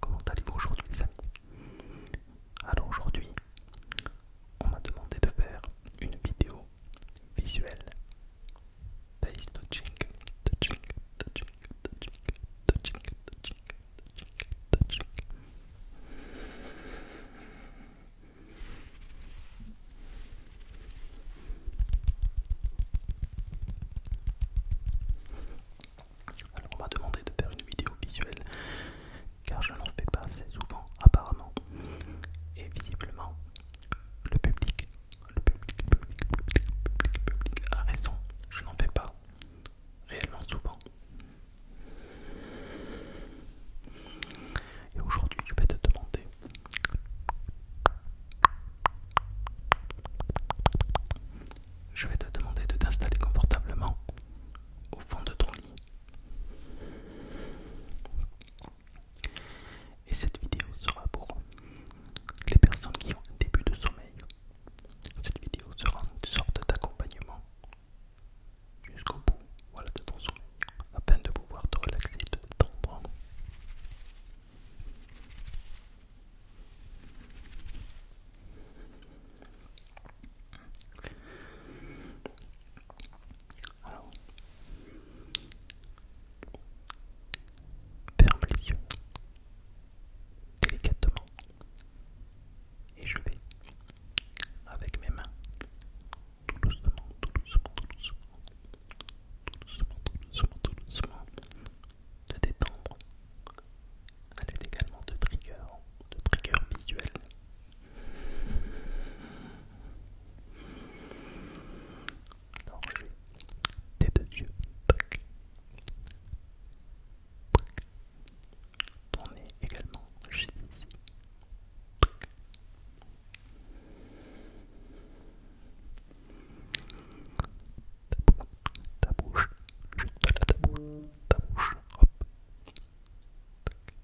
Comment allez-vous aujourd'hui les amis Alors aujourd'hui, on m'a demandé de faire une vidéo visuelle. Face touching, touching, touching, touching, touching, touching, touching, touching. Alors on m'a demandé de faire une vidéo visuelle car je n'en fais pas assez souvent apparemment. Et visiblement, le public, le public a raison, je n'en fais pas réellement souvent. Et aujourd'hui, je vais te demander je vais te demander de t'installer confortablement au fond de ton lit. Et cette vidéo sera pour les personnes qui ont un début de sommeil. Cette vidéo sera une sorte d'accompagnement jusqu'au bout voilà, de ton sommeil peine de pouvoir te relaxer et te tendre. Alors, ferme les yeux délicatement et je vais avec mes mains tout doucement, tout doucement, tout doucement, tout doucement, tout doucement, tout doucement de détendre. Elle l'aide également de trigger, de trigger visuel. Alors je vais tes deux yeux. également juste ici ta bouche, juste là, ta bouche, ta bouche, hop. Tac, tac, tac.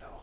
Alors.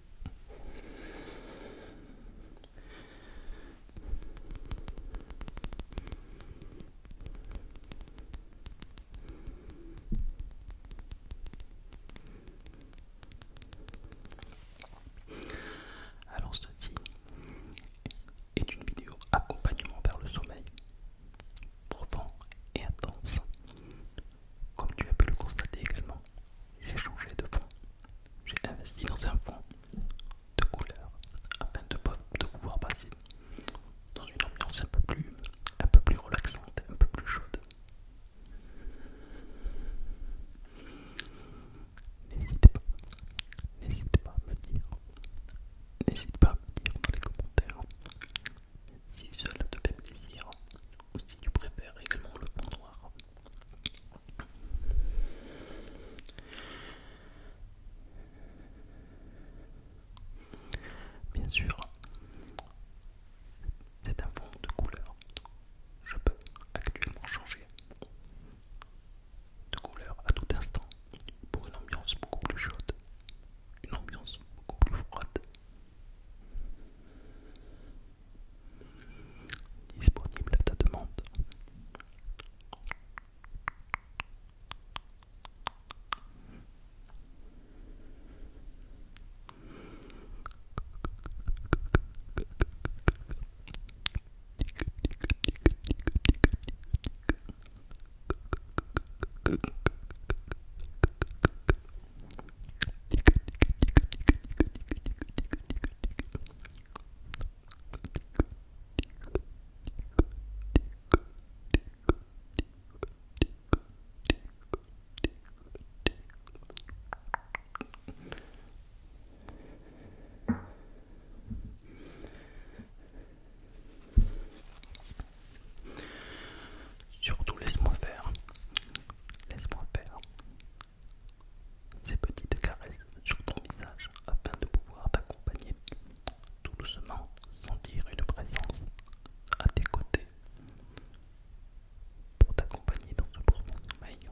Alors ceci est une vidéo accompagnement vers le sommeil, profond et intense. Comme tu as pu le constater également, j'ai changé de fond. J'ai investi dans un fond de couleur afin de, pouvoir passer dans une ambiance un peu plus, un peu plus relaxante, un peu plus chaude. N'hésitez pas, n'hésitez pas à me dire, n'hésitez pas à me dire dans les commentaires si cela te fait plaisir ou si tu préfères également le pont noir. Bien sûr, c'est un fond de couleur. Je peux actuellement changer de couleur à tout instant pour une ambiance beaucoup plus chaude, une ambiance beaucoup plus froide disponible à ta demande. Surtout laisse-moi faire. Laisse-moi faire. Ces petites caresses sur ton visage afin de pouvoir t'accompagner tout doucement, sentir une présence à tes côtés pour t'accompagner dans ce profond maillon.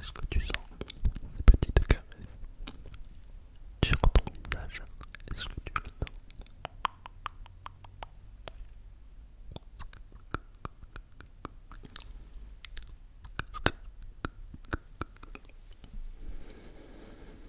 Est-ce que tu sens ces petites caresses sur ton visage Est-ce que tu le sens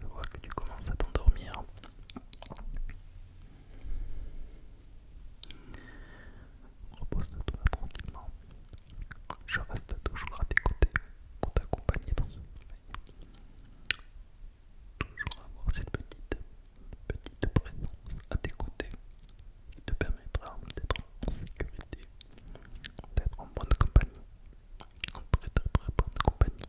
Je vois que tu commences à t'endormir. Repose-toi tranquillement. Je reste toujours à tes côtés pour t'accompagner dans ce sommeil. Toujours avoir cette petite, petite présence à tes côtés qui te permettra d'être en sécurité, d'être en bonne compagnie, en très très très bonne compagnie.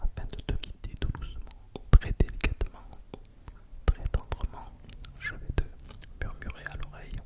Afin de te guider doucement, très délicatement, très tendrement, je vais te murmurer à l'oreille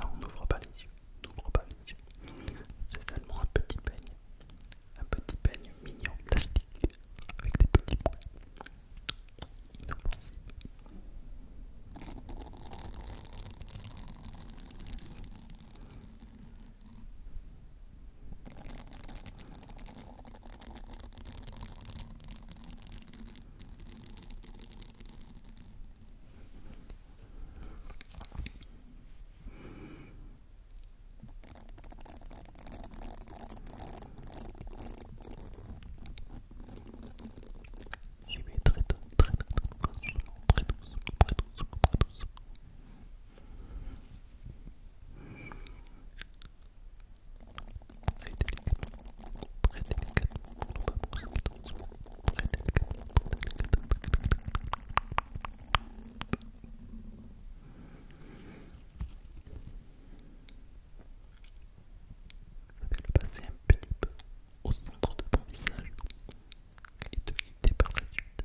Non, on n'ouvre pas les yeux. C'est seulement un petit peigne, un petit peigne mignon plastique avec des petits points J'y vais très très doucement, très doucement, très doucement, très très délicatement pour ne pas pousser trop très délicatement, très délicatement. Je vais le passer un petit peu au centre de ton visage et te guider par la suite.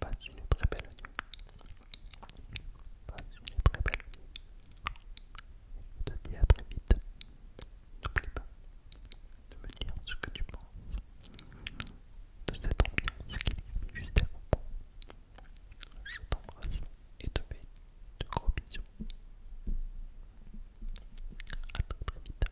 Pas une très belle nuit. Passe une très belle nuit. Je te dis à très vite. N'oublie pas de me dire ce que tu penses de cette ambiance qui est juste avant Je t'embrasse et te fais de gros bisous. À très vite.